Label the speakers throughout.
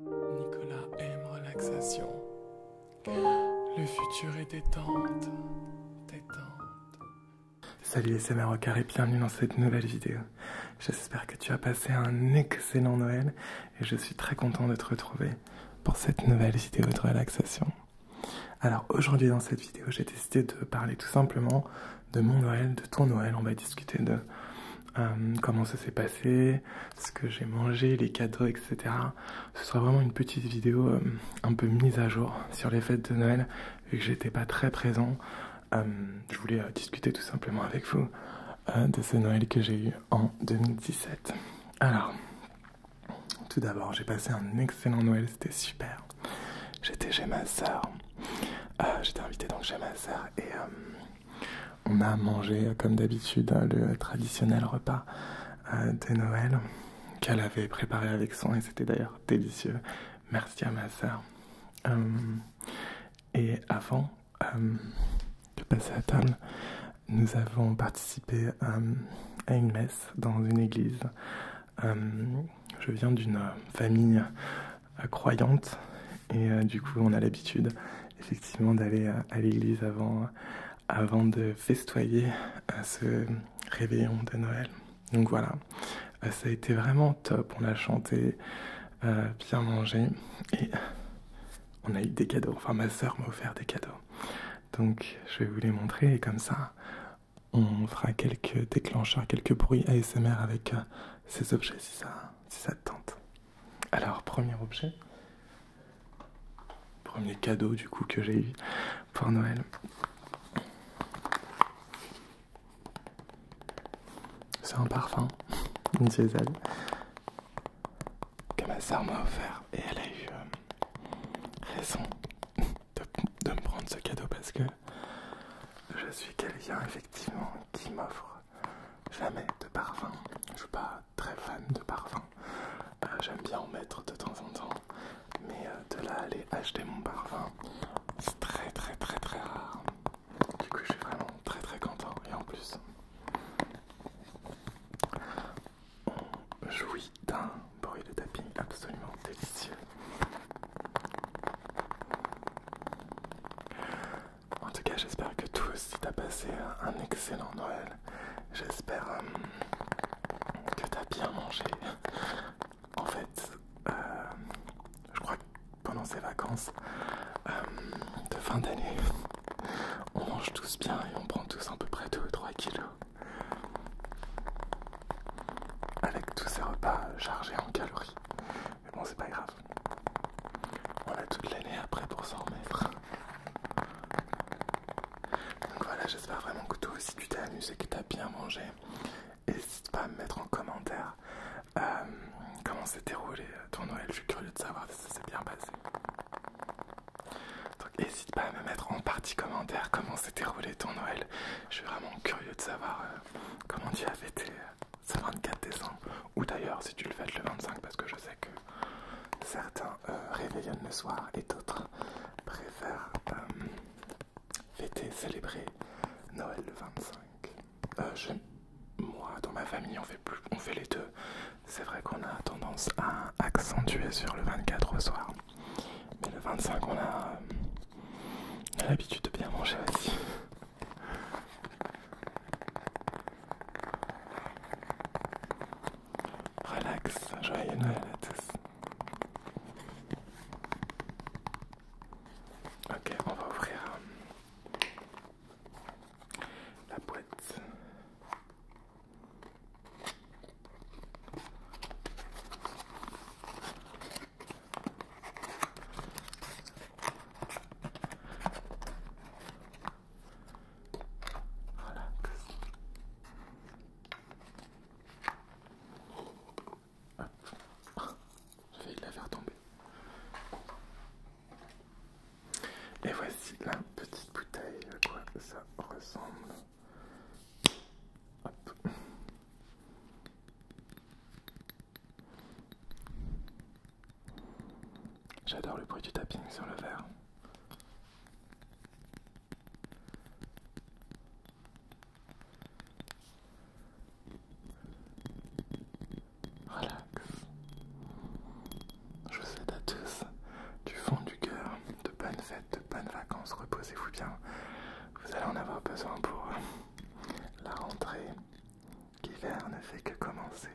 Speaker 1: Nicolas aime relaxation. Le futur est détente. Détente. Salut les au et bienvenue dans cette nouvelle vidéo. J'espère que tu as passé un excellent Noël et je suis très content de te retrouver pour cette nouvelle vidéo de relaxation. Alors aujourd'hui dans cette vidéo, j'ai décidé de parler tout simplement de mon Noël, de ton Noël. On va discuter de euh, comment ça s'est passé, ce que j'ai mangé, les cadeaux, etc. Ce sera vraiment une petite vidéo euh, un peu mise à jour sur les fêtes de Noël, vu que j'étais pas très présent. Euh, je voulais discuter tout simplement avec vous de ce Noël que j'ai eu en 2017. Alors, tout d'abord, j'ai passé un excellent Noël, c'était super. J'étais chez ma soeur. j'étais invité donc chez ma soeur et on a mangé, euh, comme d'habitude, hein, le traditionnel repas euh, de Noël qu'elle avait préparé avec soin et c'était d'ailleurs délicieux. Merci à ma soeur. Euh, et avant de passer à table, nous avons participé à une messe dans une église. je viens d'une famille croyante et euh, du coup, on a l'habitude effectivement d'aller euh, à, l'église avant, avant de festoyer à euh, ce réveillon de Noël. Donc voilà, ça a été vraiment top. On a chanté, bien mangé et on a eu des cadeaux. Enfin, ma sœur m'a offert des cadeaux. Donc je vais vous les montrer et comme ça, on fera quelques déclencheurs, quelques bruits ASMR avec ces objets ça, si ça te tente. Alors, premier objet, premier cadeau du coup que j'ai eu pour Noël. C'est un parfum, une diesel, que ma sœur m'a offert et elle a eu euh, raison de me prendre ce cadeau parce que je suis quelqu'un effectivement qui m'offre jamais de parfum. Je suis pas très fan de parfum. Euh, j'aime bien en mettre de temps en temps. Mais euh, de là aller acheter mon parfum, c'est très très très très rare. Du coup je suis vraiment très très content. Et en plus, on jouit d'un bruit de tapis absolument délicieux. En tout cas, j'espère que tous, si t'as passé euh, un excellent Noël. J'espère euh, que t'as bien mangé. En fait, euh, je crois que pendant ces vacances de fin d'année, on mange tous bien et on prend tous à peu près 2 ou 3 kilos. Avec tous ces repas chargés en calories. Mais bon, c'est pas grave. On a toute l'année après pour s'en remettre. Donc voilà, j'espère vraiment que tout aussi tu t'es amusé, que as bien mangé. N'hésite pas à me mettre en commentaire euh, comment s'est déroulé euh, ton Noël. Je suis curieux de savoir si ça s'est bien passé. Donc n'hésite pas à me mettre en partie commentaire comment s'est déroulé ton Noël. Je suis vraiment curieux de savoir euh, comment tu as été c'est 24 décembre. Ou d'ailleurs, si tu le fêtes le 25, parce que je sais que certains euh, réveillonnent le soir et d'autres préfèrent euh, fêter, célébrer Noël le 25. Euh, moi, dans ma famille, on fait, les deux. C'est vrai qu'on a tendance à accentuer sur le 24 au soir. Mais le 25, on a, l'habitude de bien manger aussi. Relax, joyeux Noël à tous. Ok, on va ouvrir hein, la boîte. Voilà. Hop. la faire tomber. Et voici la petite bouteille, à quoi ça ressemble. J'adore le bruit du tapping sur le verre. Relax. Je vous souhaite à tous du fond du cœur de bonnes fêtes, de bonnes vacances. Reposez-vous bien. Vous allez en avoir besoin pour la rentrée. L'hiver ne fait que commencer.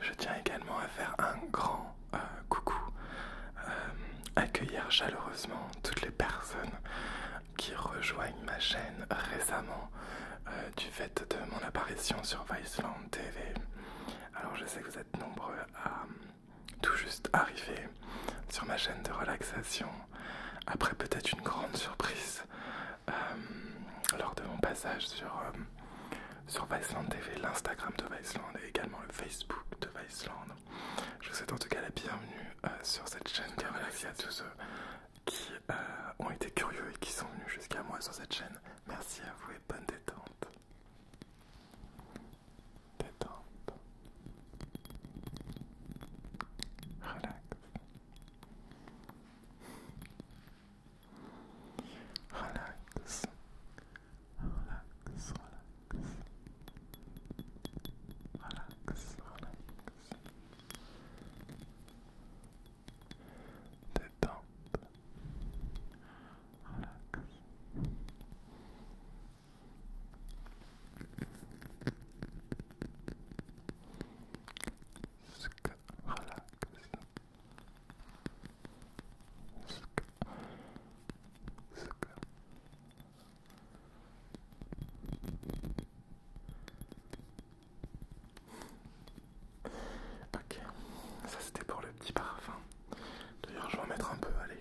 Speaker 1: Je tiens également à faire un grand euh, coucou, euh, accueillir chaleureusement toutes les personnes qui rejoignent ma chaîne récemment euh, du fait de mon apparition sur Viceland TV. Alors je sais que vous êtes nombreux à tout juste arriver sur ma chaîne de relaxation après peut-être une grande surprise euh, lors de mon passage sur, euh, sur Viceland TV, l'Instagram de Viceland et également le Facebook de Viceland. Je vous souhaite en tout cas la bienvenue euh, sur cette chaîne. Bien merci à tous ceux qui ont été curieux et qui sont venus jusqu'à moi sur cette chaîne. Merci à vous et bonne détente. Détente. Relax. Relaxe. Relax, relax. Relaxe. relax. Détente. Ok, ça c'était pour le petit parfum. D'ailleurs, je vais en mettre un peu, allez.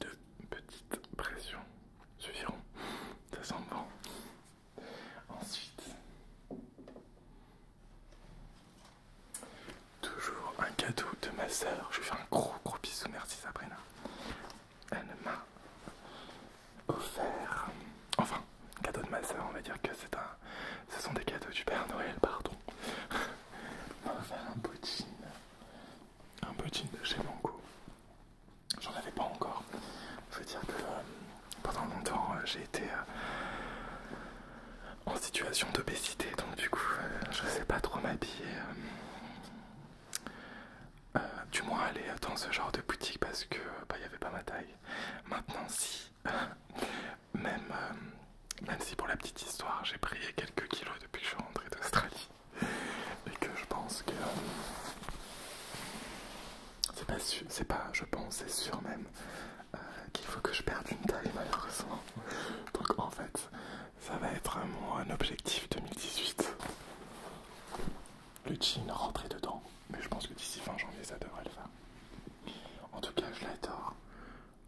Speaker 1: Deux petites pressions suffiront. Ça sent bon. Ensuite, toujours un cadeau de ma soeur. Je lui fais un gros gros bisou. Merci Sabrina. Elle m'a offert, enfin, cadeau de ma soeur. On va dire que c'est un, ce sont des cadeaux du Père Noël, pardon. On m'a offert un petit, un petit de chez Mango J'en avais pas encore. Je veux dire que euh, pendant longtemps, euh, j'ai été euh, en situation d'obésité, donc du coup, je sais pas trop m'habiller. du moins aller dans ce genre de boutique parce que bah, y avait pas ma taille. Maintenant, si. même, même si pour la petite histoire, j'ai pris quelques kilos depuis que je suis rentré d'Australie et que je pense que c'est pas sûr, c'est pas, je pense, c'est sûr même euh, qu'il faut que je perde une taille malheureusement. Donc en fait, ça va être mon objectif 2018. Le jean rentrer dedans, mais je pense que d'ici fin janvier ça devrait le faire. En tout cas, je l'adore.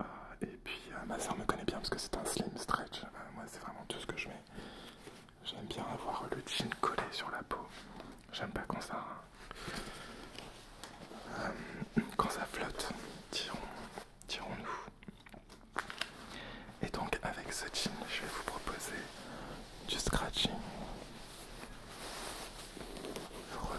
Speaker 1: Euh, et puis euh, ma sœur me connaît bien parce que c'est un slim stretch. moi, c'est vraiment tout ce que je mets. J'aime bien avoir le jean collé sur la peau. J'aime pas quand ça... Euh, quand ça flotte. Tirons-nous. Et donc avec ce jean, je vais vous proposer du scratching. Relax.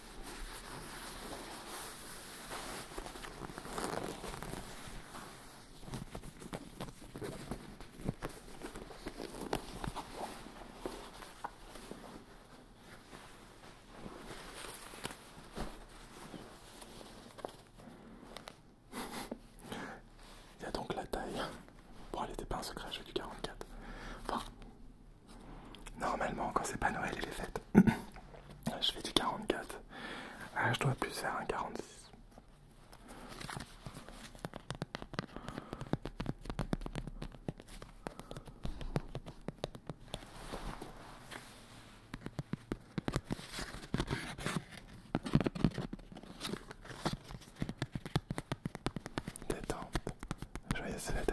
Speaker 1: Il y a donc la taille. Bon, elle n'était pas un secret, j'ai du 44. Enfin, Normalement, quand c'est pas Noël et est fêtes, je fais du 44. Ah, je dois plus faire un 46. Détente. Joyeuses fêtes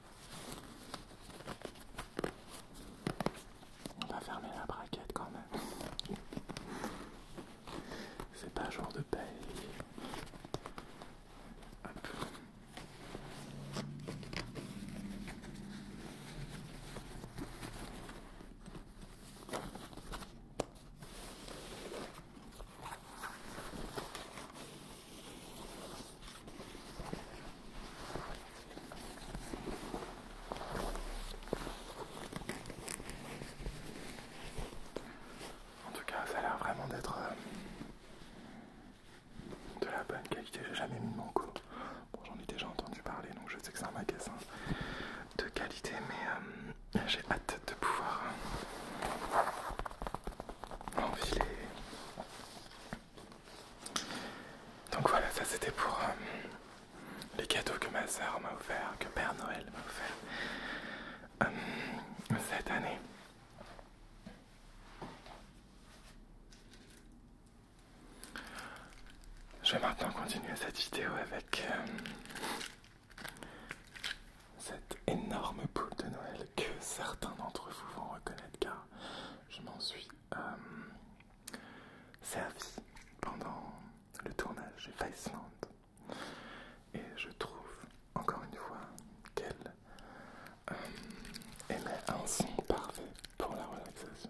Speaker 1: On va fermer la braquette quand même. C'est pas jour de paye. En tout cas, ça a l'air vraiment d'être euh, de la bonne qualité. J'ai jamais mis de manco. j'en ai déjà entendu parler, donc je sais que c'est un magasin de qualité, mais euh, j'ai hâte de pouvoir enfiler donc voilà, ça c'était pour euh, les cadeaux que ma sœur m'a offert, que Père Noël m'a offert euh, cette année. Je vais maintenant continuer cette vidéo avec euh, cette énorme boule de Noël que certains d'entre vous vont reconnaître car je m'en suis euh, servi pendant le tournage de Viceland. Et je trouve, encore une fois, qu'elle aimait euh, émet un son parfait pour la relaxation.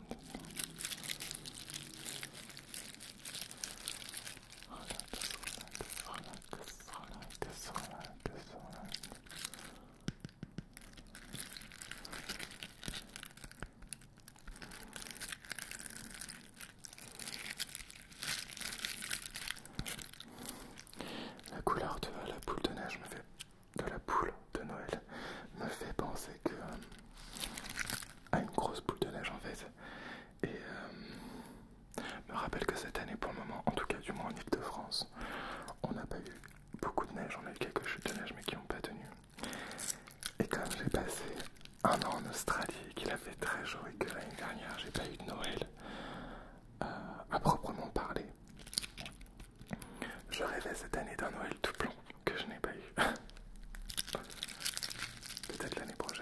Speaker 1: La couleur de la poule de neige me fait de la poule de Noël me fait penser que euh, à une grosse boule de neige en fait et euh, me rappelle que cette année pour le moment en tout cas du moins en Ile-de-France on n'a pas eu beaucoup de neige on a eu quelques chutes de neige mais qui n'ont pas tenu et comme j'ai passé un an en Australie qu'il a fait très chaud et que l'année dernière j'ai pas eu de Noël euh, à proprement parler je rêvais cette année d'un Noël tout blanc que je n'ai pas eu. Peut-être l'année prochaine.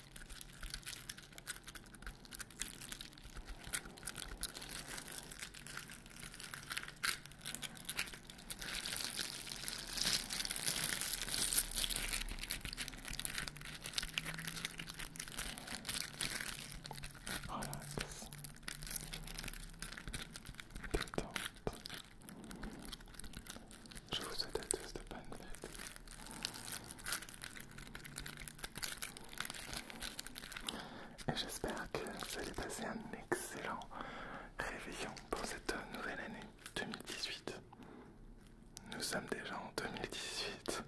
Speaker 1: Relax. Détente. Je vous souhaite à tous de bonnes fêtes. Et j'espère que vous allez passer un excellent réveillon pour cette nouvelle année 2018. Nous sommes déjà en 2018.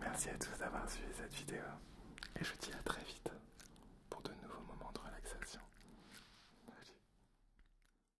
Speaker 1: Merci à tous d'avoir suivi cette vidéo et je dis à très vite pour de nouveaux moments de relaxation.